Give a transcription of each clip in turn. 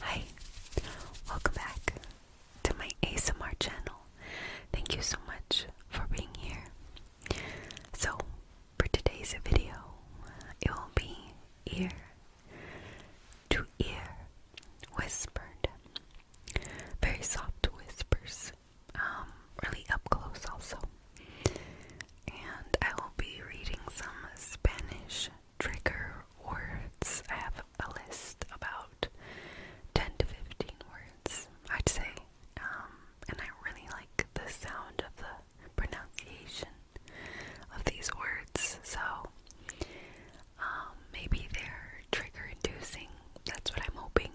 Hi, welcome back to my ASMR channel. Thank you so much for being here. So, for today's video, it will be ear to ear whispered, very soft whispers, um, really up close also. And I will be reading some Spanish trigger words. I have a list about 10 to 15 words, I'd say. Um, and I really like the sound of the pronunciation of these words, so um, maybe they're trigger inducing. That's what I'm hoping.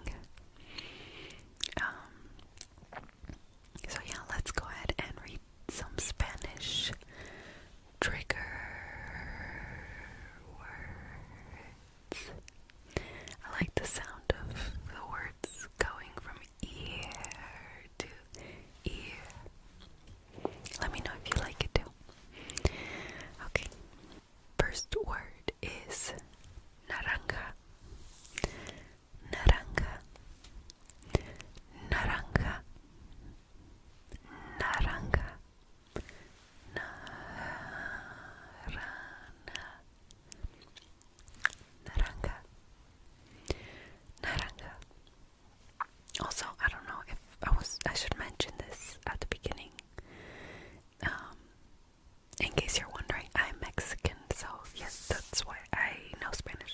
Um, so, yeah, let's go ahead and read some Spanish trigger words. I like the sound of the words going from ear to ear. Let me know if you like it too. Okay, first word is naranja. Naranja. Naranja naranja naranja naranja naranja also I don't know if I was I should mention this at the beginning um in case you're wondering I'm Mexican so yes that's why I know Spanish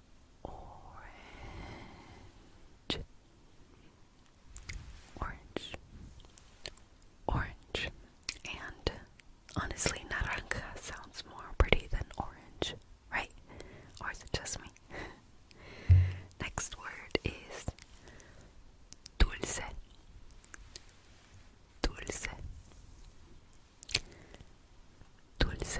orange, orange, orange, and honestly, naranja sounds more pretty than orange, right? Or is it just me? Next word is dulce, dulce, dulce.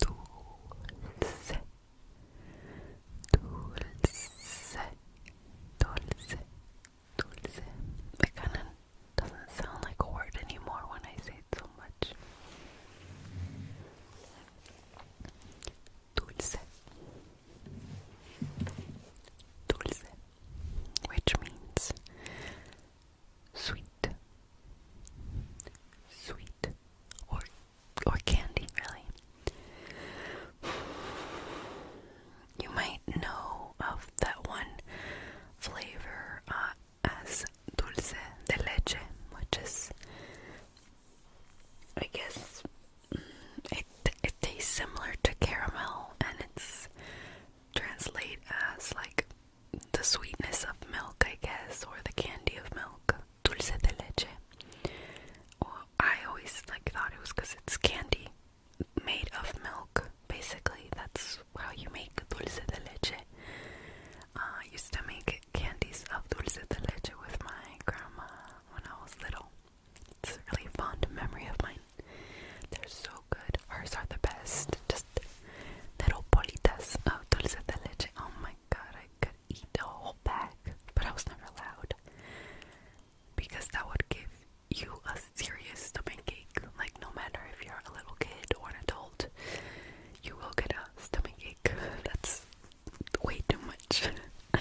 dulce, dulce, dulce, dulce. It kind of doesn't sound like a word anymore when I say it so much. Dulce, dulce, which means sweet, sweet, or or candy, really. You might know of that one flavor uh, as dulce de leche, which is, I guess, mm, it it tastes similar to caramel, and it's translate as like the sweetness of milk, I guess, or the candy of milk, dulce de leche. Or I always like thought it was because it's candy made of milk. Basically, that's how you make dulce de leche. Uh, I used to make candies of dulce de leche with my grandma when I was little. It's a really fond memory of mine. They're so good. Hers are the best. Just little bolitas of dulce de leche. Oh my god, I could eat the whole bag, but I was never allowed because that would give you a serious stomach ache. Like, no matter if you're a little kid or an adult, you will get a stomach ache. That's way too much.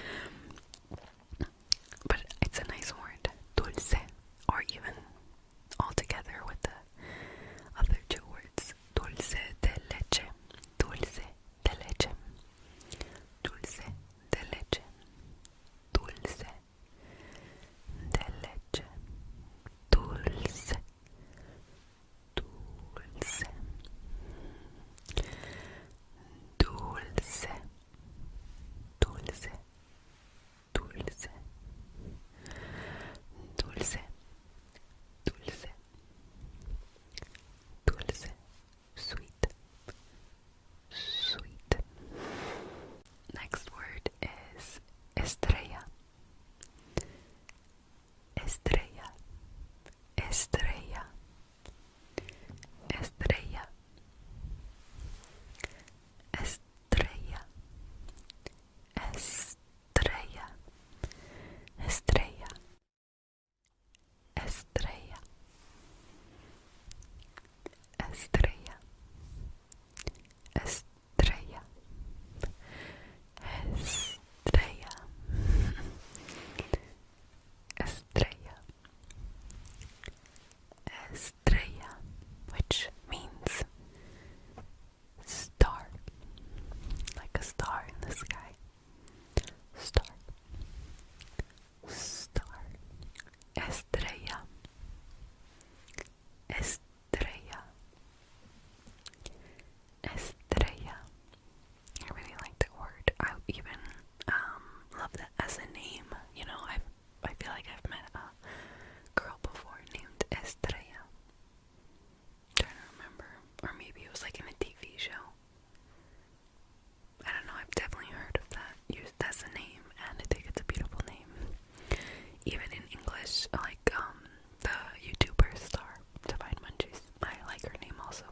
but it's a nice word, dulce, or even all together with the other two words dulce de leche dulce de leche dulce de leche dulce de leche dulce dulce dulce dulce dulce dulce dulce, dulce, sweet, sweet. Next word is estrella, estrella, estrella, estrella, estrella. Estrella, estrella, estrella, estrella, estrella, estrella, estrella, estrella, which means star, like a star in the sky. Star, star, estrella, estrella, estrella. I really like that word. I even um, love that as a name. You know, i I feel like I've met a girl before named Estrella i trying to remember. Or maybe it was like in a TV show. I don't know, I've definitely heard of that. That's a name, and I think it's a beautiful name. Even in English, like um, the YouTuber Star Divine Munchies, I like her name also.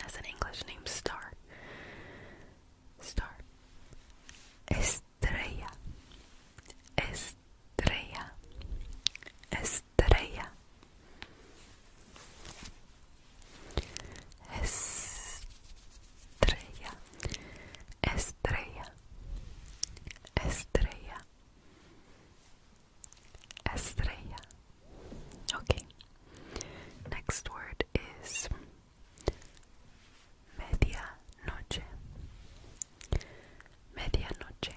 That's an English name, Star. Star. Estrella. Estrella. Estrella, estrella, estrella, estrella, estrella, estrella. Okay, next word is media noche. Medianoche,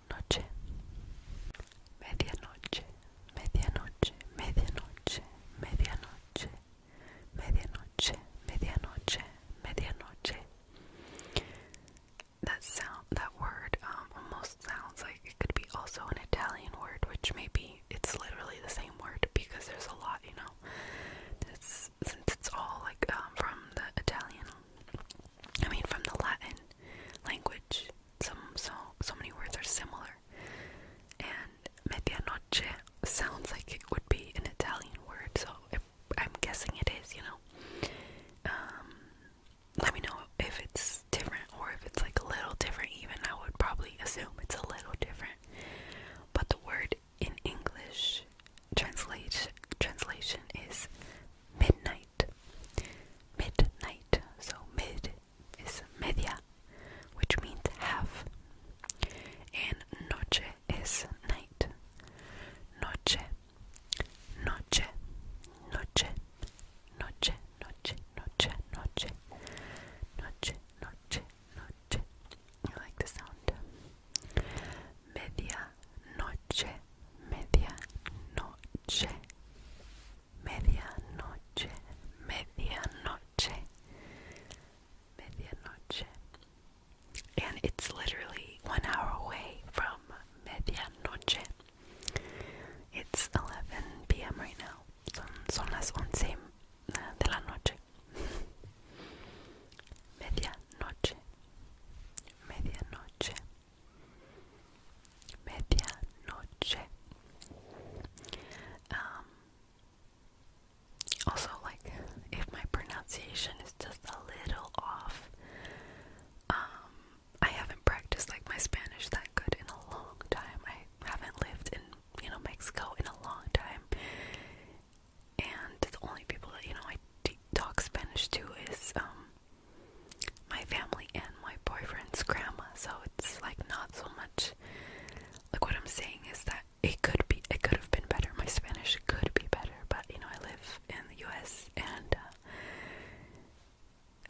noche, medianoche, medianoche, medianoche, medianoche, medianoche, medianoche, That sound, that word, um, almost sounds like it could be also an Italian word, which maybe it's literally the same word because there's a lot, you know. It's, since it's all like um, from the Italian, I mean, from the Latin language some so so many words are similar, and medianoche sounds like it would be an Italian word, so I'm guessing it is. You know, um, let me know if it's different or if it's like a little different. Even I would probably assume it's a little different, but the word in English translation translation is midnight. Midnight. So mid is media, which means half. And noche is night. Noche. Noche. Noche. Noche. Noche. Noche. Noche. Noche. Noche. Noche. I like the sound. Media noche. Media noche medianoche, medianoche, medianoche. And it's literally one hour away from medianoche. It's 11 p.m. right now. Son, son las once eh, de la noche. Medianoche, medianoche. Medianoche. Um, also, like, if my pronunciation is just a little off, um, I haven't practiced like my Spanish that good in a long time. I haven't lived in, you know, Mexico in a long time. And the only people that, you know, I talk Spanish to is, um, my family and my boyfriend's grandma, so it's like not so much like what I'm saying is that it could be it could have been better. My Spanish could be better, but you know, I live in the US and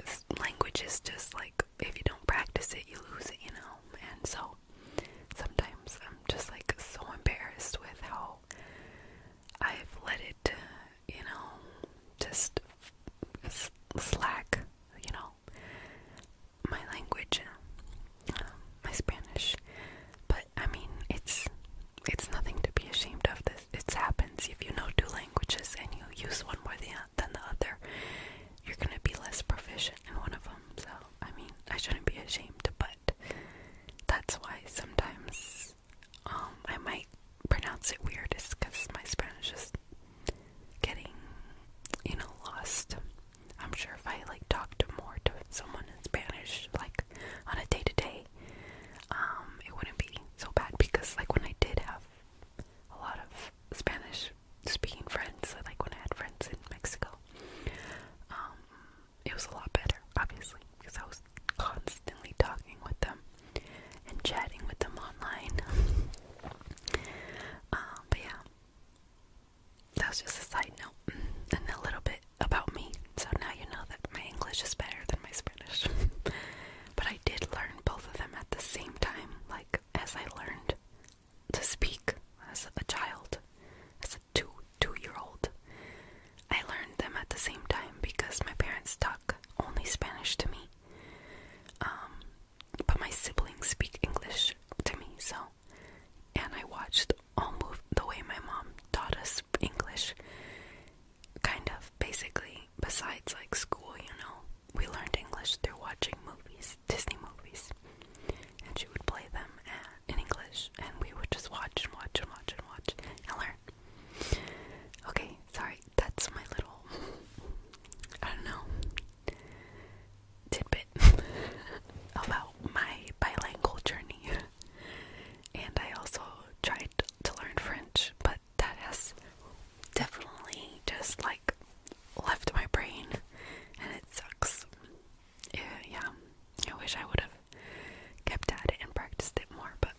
uh, language is just like if you don't practice it, you lose it, you know. And so sometimes I'm just like so embarrassed with how I've let it, you know, just slack, you know, my language, um, my Spanish. But I mean, it's it's nothing to be ashamed of. This it happens if you know two languages and you use one more than the other, you're gonna be less proficient in one of them. So I mean, I shouldn't be ashamed, but that's why sometimes um, I might pronounce it weird because my Spanish is getting, you know, lost. I'm sure if I like talked to more to someone in Spanish, like on a day to day, um, it wouldn't be so bad because like when I did have a lot of Spanish speaking friends, like when I had friends in Mexico, um, it was a lot better, obviously, because I was constantly talking with them and chatting with them online. Um, but yeah, that was just a side note and a little bit about me. So now you know that my English is better than my Spanish. but I did learn both of them at the same time, like as I learned to speak as a child, as a two two year old. I learned them at the same time because my parents talk only Spanish to me um, but my siblings speak English to me, so. And I watched all almost the way my mom taught us English, kind of, basically, besides like school, you know. We learned English through watching movies, Disney movies. And she would play them uh, in English, and we would just watch and watch and watch and watch and learn. Okay, sorry, that's my little I don't know tidbit about my bilingual journey. And I also tried to learn French, but that has definitely just like left my brain and it sucks. Yeah, yeah. I wish I would have kept at it and practiced it more, but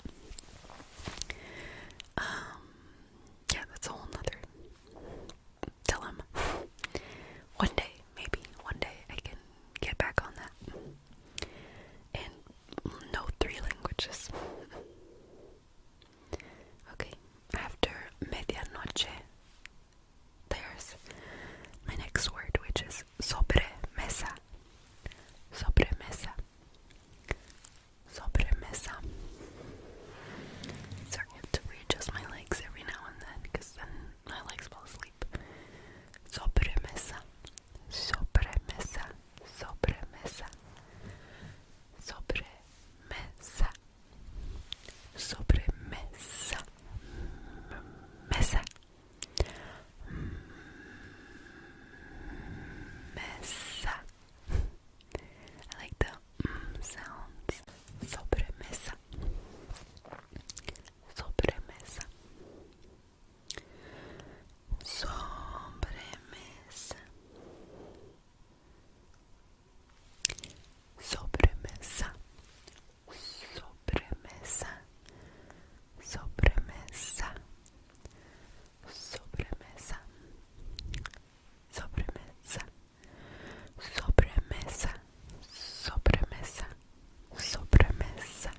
um, yeah, that's a whole nother dilemma. one day, maybe, one day I can get back on that. And no three languages. Okay, after medianoche, there's my next word, which is sobre mesa. Sobre mesa sobremesa. Sorry, I have to readjust my legs every now and then because then my legs fall asleep. Sobremesa, sobremesa, sobremesa, sobremesa, sobremesa, mesa, mesa. I like the mm, sounds. Sobremesa. Sobremesa. Sobremesa. Sobremesa. Sobremesa. Sobremesa sobremesa, sobremesa, sobremesa, sobremesa, sobremesa,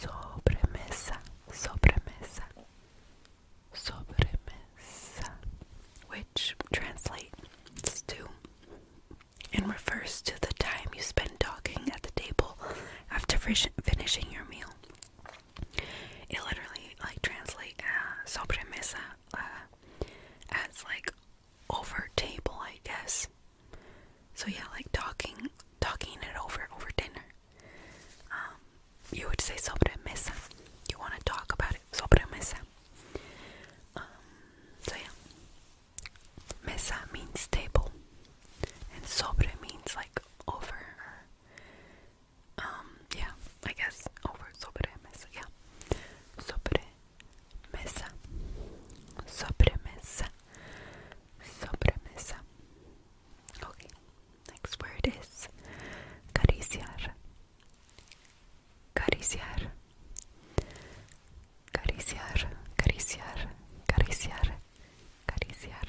sobremesa, sobremesa, sobremesa, which translates to and refers to the time you spend talking at the table after finishing your meal. It literally like translate uh, sobremesa uh, as like over table, I guess. So yeah, like talking, talking it over over dinner. Um, you would say mesa." You want to talk about it, sobremesa. Um, so yeah, mesa means table, and sobre means like over um, yeah, I guess over sobre mesa, yeah. Sobre mesa. Sobre mesa. Sobre mesa. Okay. Next word is cariciar. Cariciar. Cariciar, cariciar, cariciar, cariciar,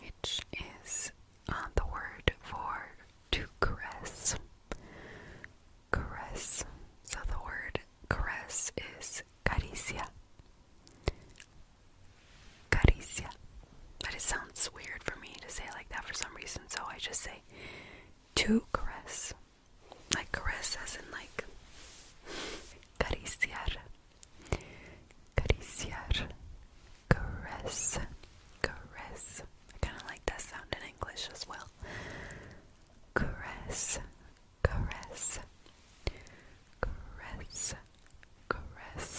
which is uh, the word for to caress. Caress. So the word caress is caricia. Caricia. But it sounds weird for me to say like that for some reason, so I just say to caress. Like caress as in like cariciar. Cariciar. Caress. Caress. I kind of like that sound in English as well. Caress. Caress. Caress. Caress.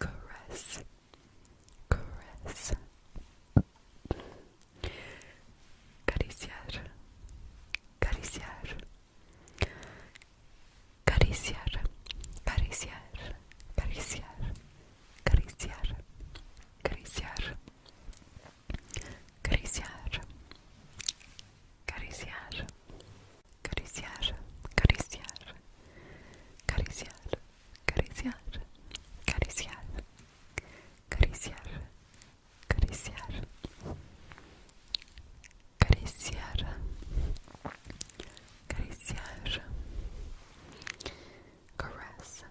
Caress. Caress. Cariciar. Cariciar. Cariciar, cariciar, cariciar, cariciar, cariciar, cariciar, cariciar, cariciar, cariciar, cariciar, cariciar, cariciar, cariciar, Cariciar. Cariciar. Cariciar. Caress.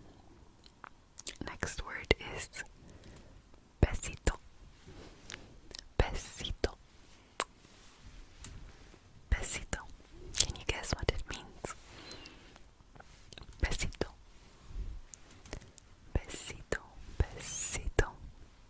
Next word is besito. Besito. Besito. Can you guess what it means? Besito. Besito. Besito.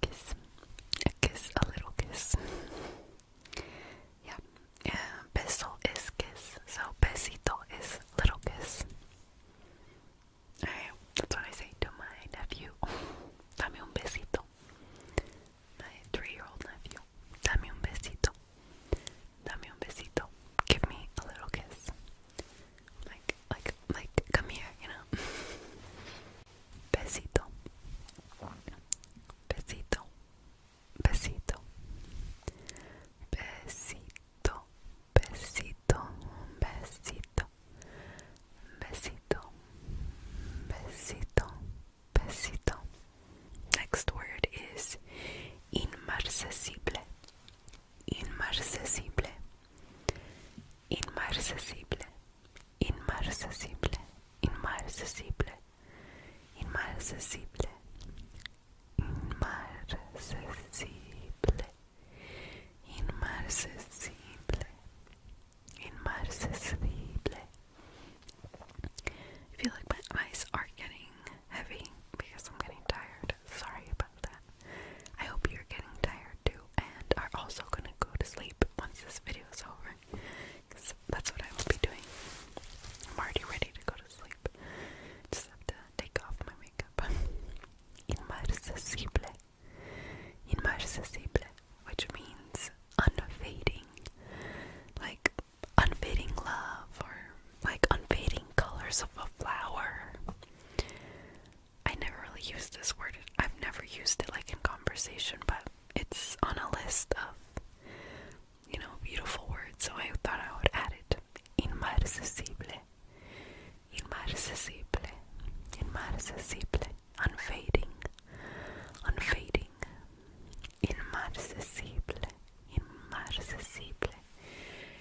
kiss, a kiss, a little kiss. yeah, yeah, uh, beso is kiss, so besito is little kiss. Alright, that's what I say to my nephew. Dame un besito. My three-year-old nephew. Dame un besito. Dame un besito. Give me a little kiss. Like, like, like, come here, you know. Besito. Besito. Besito. Besito. Besito. Besito. Besito. Besito. Next word is inmarcesible inmarcesible, inmarcesible, inmarcesible, inmarcesible, inmarcesible, inmarcesible, inmarcesible, inmarcesible. I feel like my eyes are getting heavy because I'm getting tired. Sorry I hope you're getting tired too and are also gonna go to sleep once this video is over. Cause that's what I will be doing. I'm already ready to go to sleep. Just have to take off my makeup. Inmarcesible. Inmarcesible. Which means unfading. Like unfading love or like unfading colors of a flower. I never really used this word. I've never used it like in conversation, but it's on a list of you know beautiful words, so I thought I would add it. Inmarcesible, inmarcesible, inmarcesible, unfading, unfading, inmarcesible, inmarcesible,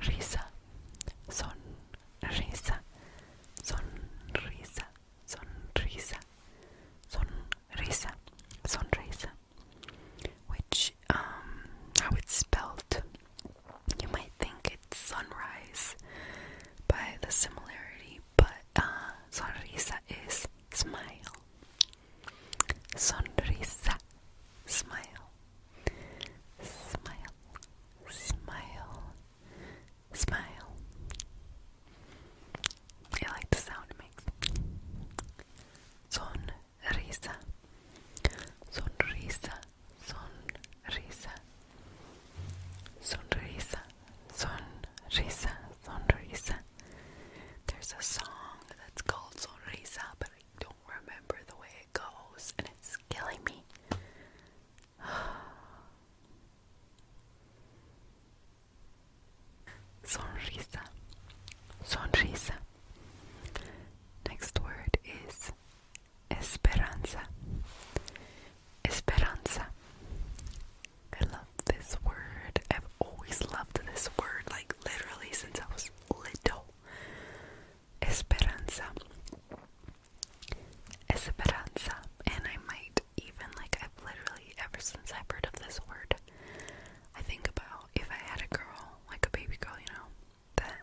Risa, sonrisa, sonrisa, sonrisa, sonrisa, sonrisa. Which, um, how it's spelled, you might think it's sunrise by the similarity, but uh, sonrisa is smile. Sonrisa, smile. Smile, smile, smile. I like the sound it Sonrisa, sonrisa, sonrisa, sonrisa, sonrisa, sonrisa. There's a song that's called Sonrisa, but I don't remember the way goes, and it's killing me. Sonrisa. Sonrisa. Next word is esperanza. Esperanza. I love this word. I've always loved this word, like literally since I was little. Esperanza. Esperanza. And I might even, like, I've literally, ever since I've heard of this word, I think about if I had a girl, like a baby girl, you know, that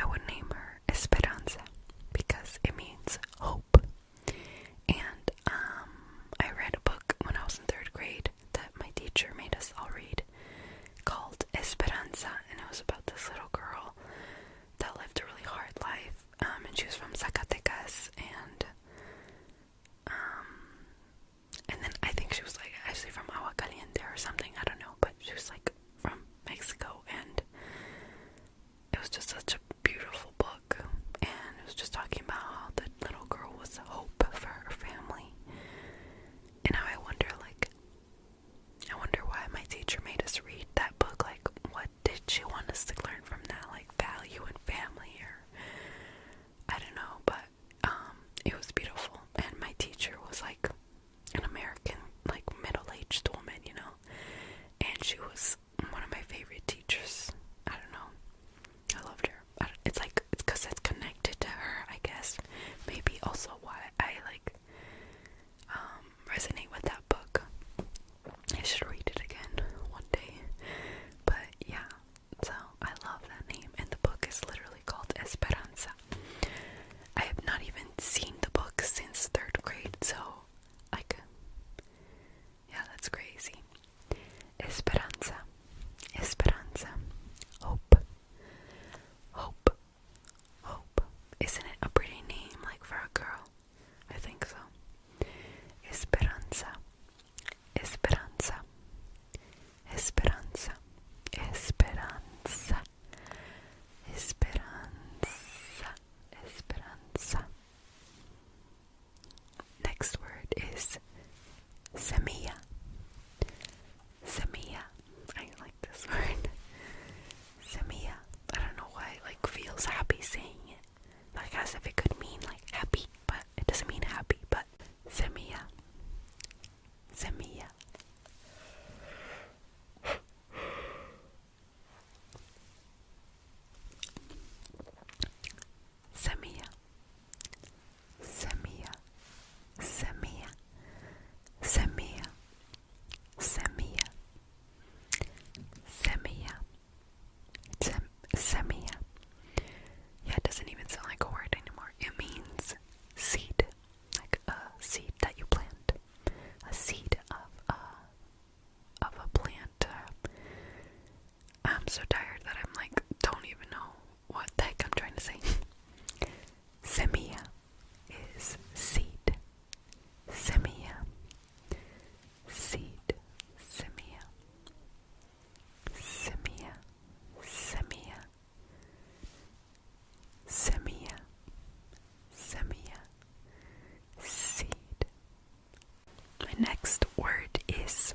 I would name her Esperanza because it means hope. And, um, I read a book when I was in third grade that my teacher made us all read called Esperanza, and it was about this little girl that lived a really hard life. Um, and she was from Zacatecas, and um, and then I think she was like actually from in there or something. I don't know, but she was like from Mexico, and it was just such a beautiful book, and it was just talking about how the little girl was hope for her family, and how I wonder like I wonder why my teacher made us read that book. Like, what did she want us to learn from that? Like, value and family, or I don't know, but um, it was beautiful. And my teacher was like an American, like middle aged woman, you know, and she was one of my favorite teachers. I don't know, I loved her. I it's like it's because it's connected to her, I guess. Maybe also why I, like um, resonate with that book. I should read it again one day. But yeah, so I love that name and the book is literally called Esperanza. I have not even seen the book since third grade, so like yeah, that's crazy. Esperanza. Esperanza. Hope. Hope. Hope. Isn't it a pretty name, like for a girl? I think so. Esperanza. Esperanza. Esperanza. Esperanza. Esperanza. Esperanza. Next word is Samia. Samia. I like this word. Samia. I don't know why like feels happy saying it. Like as if it could mean like happy, but it doesn't mean happy, but Samia. Samia. Samia. Samia, Samia, Samia, Samia, Samia, Samia. Yeah, it doesn't even sound like a word anymore. It means seed, like a seed that you plant, a seed of a of a plant. Uh, I'm so tired that I'm like, don't even know what the heck I'm trying to say. Semia is seed. Semia, Seed. semia, Semilla. semia, Semilla. Seed. My next word is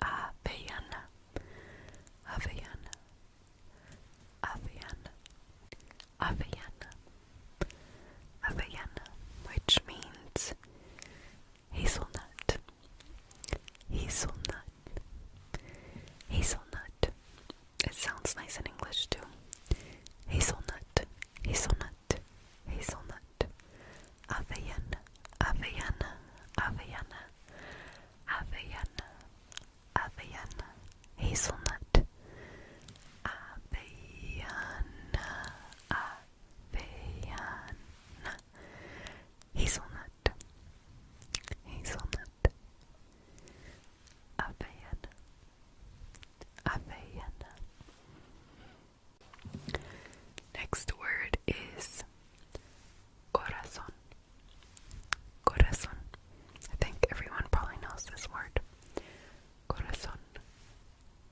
Avellana, Avellana, Avellana, Avellana, Avellana, which means hazelnut, hazelnut, hazelnut. It sounds nice in English too. Hazelnut, hazelnut, hazelnut. Avian, Avian, Avian, Avian, Avian, Hazelnut, Avian, Avian, Hazelnut, Hazelnut, Avian, Avian. Next word is corazon. Corazon. I think everyone probably knows this word. Corazon.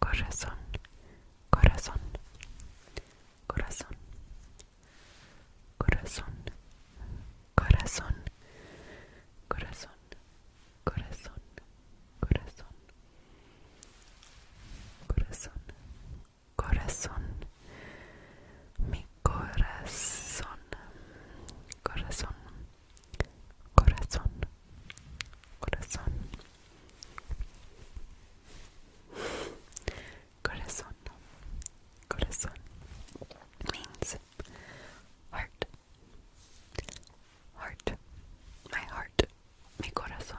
Corazon. Corazon. Corazon. Corazon. Corazon. Corazon. Corazon. Corazon. Corazon corazón, mi corazón, corazón, corazón, corazón, corazón, corazón means heart, heart, my heart, mi corazón.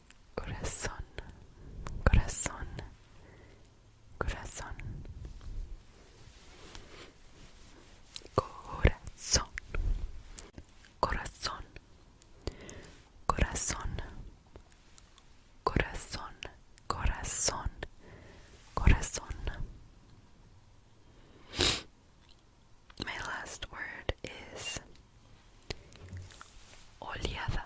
corazón, corazón, corazón, corazón, corazón, corazón, corazón, corazón, corazón. My last word is oleada.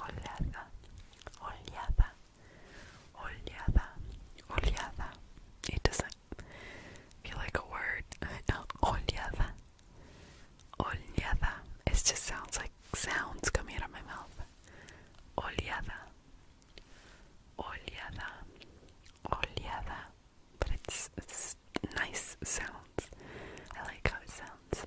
oleada, oleada, oleada, oleada. It doesn't feel like a word. Oleada, oleada. It just sounds like sounds coming out of my mouth. Oleada, oleada, oleada. But it's nice sounds. I like how it sounds.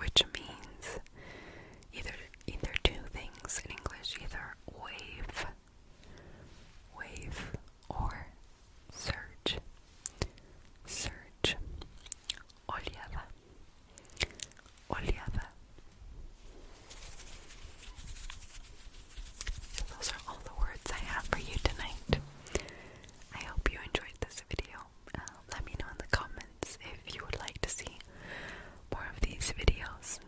which means either either two things in English, either wave, wave or surge, surge, oleada, oleada. those are all the words I have for you tonight. I hope you enjoyed this video. Um, let me know in the comments if you would like to see more of these videos,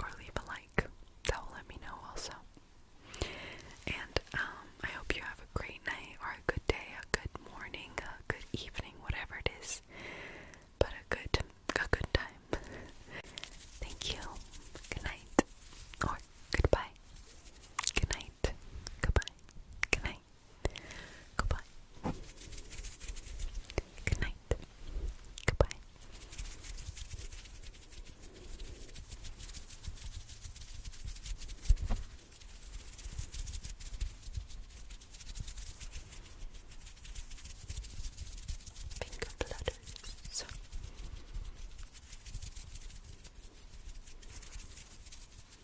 or leave a like. That will let me know also. And um, I hope you have a great night, or a good day, a good morning, a good evening, whatever it is. But a good, a good time. Thank you. Good night, Goodbye. Good night. Goodbye. Good night. Goodbye. Good night. Goodbye. Finger flutters.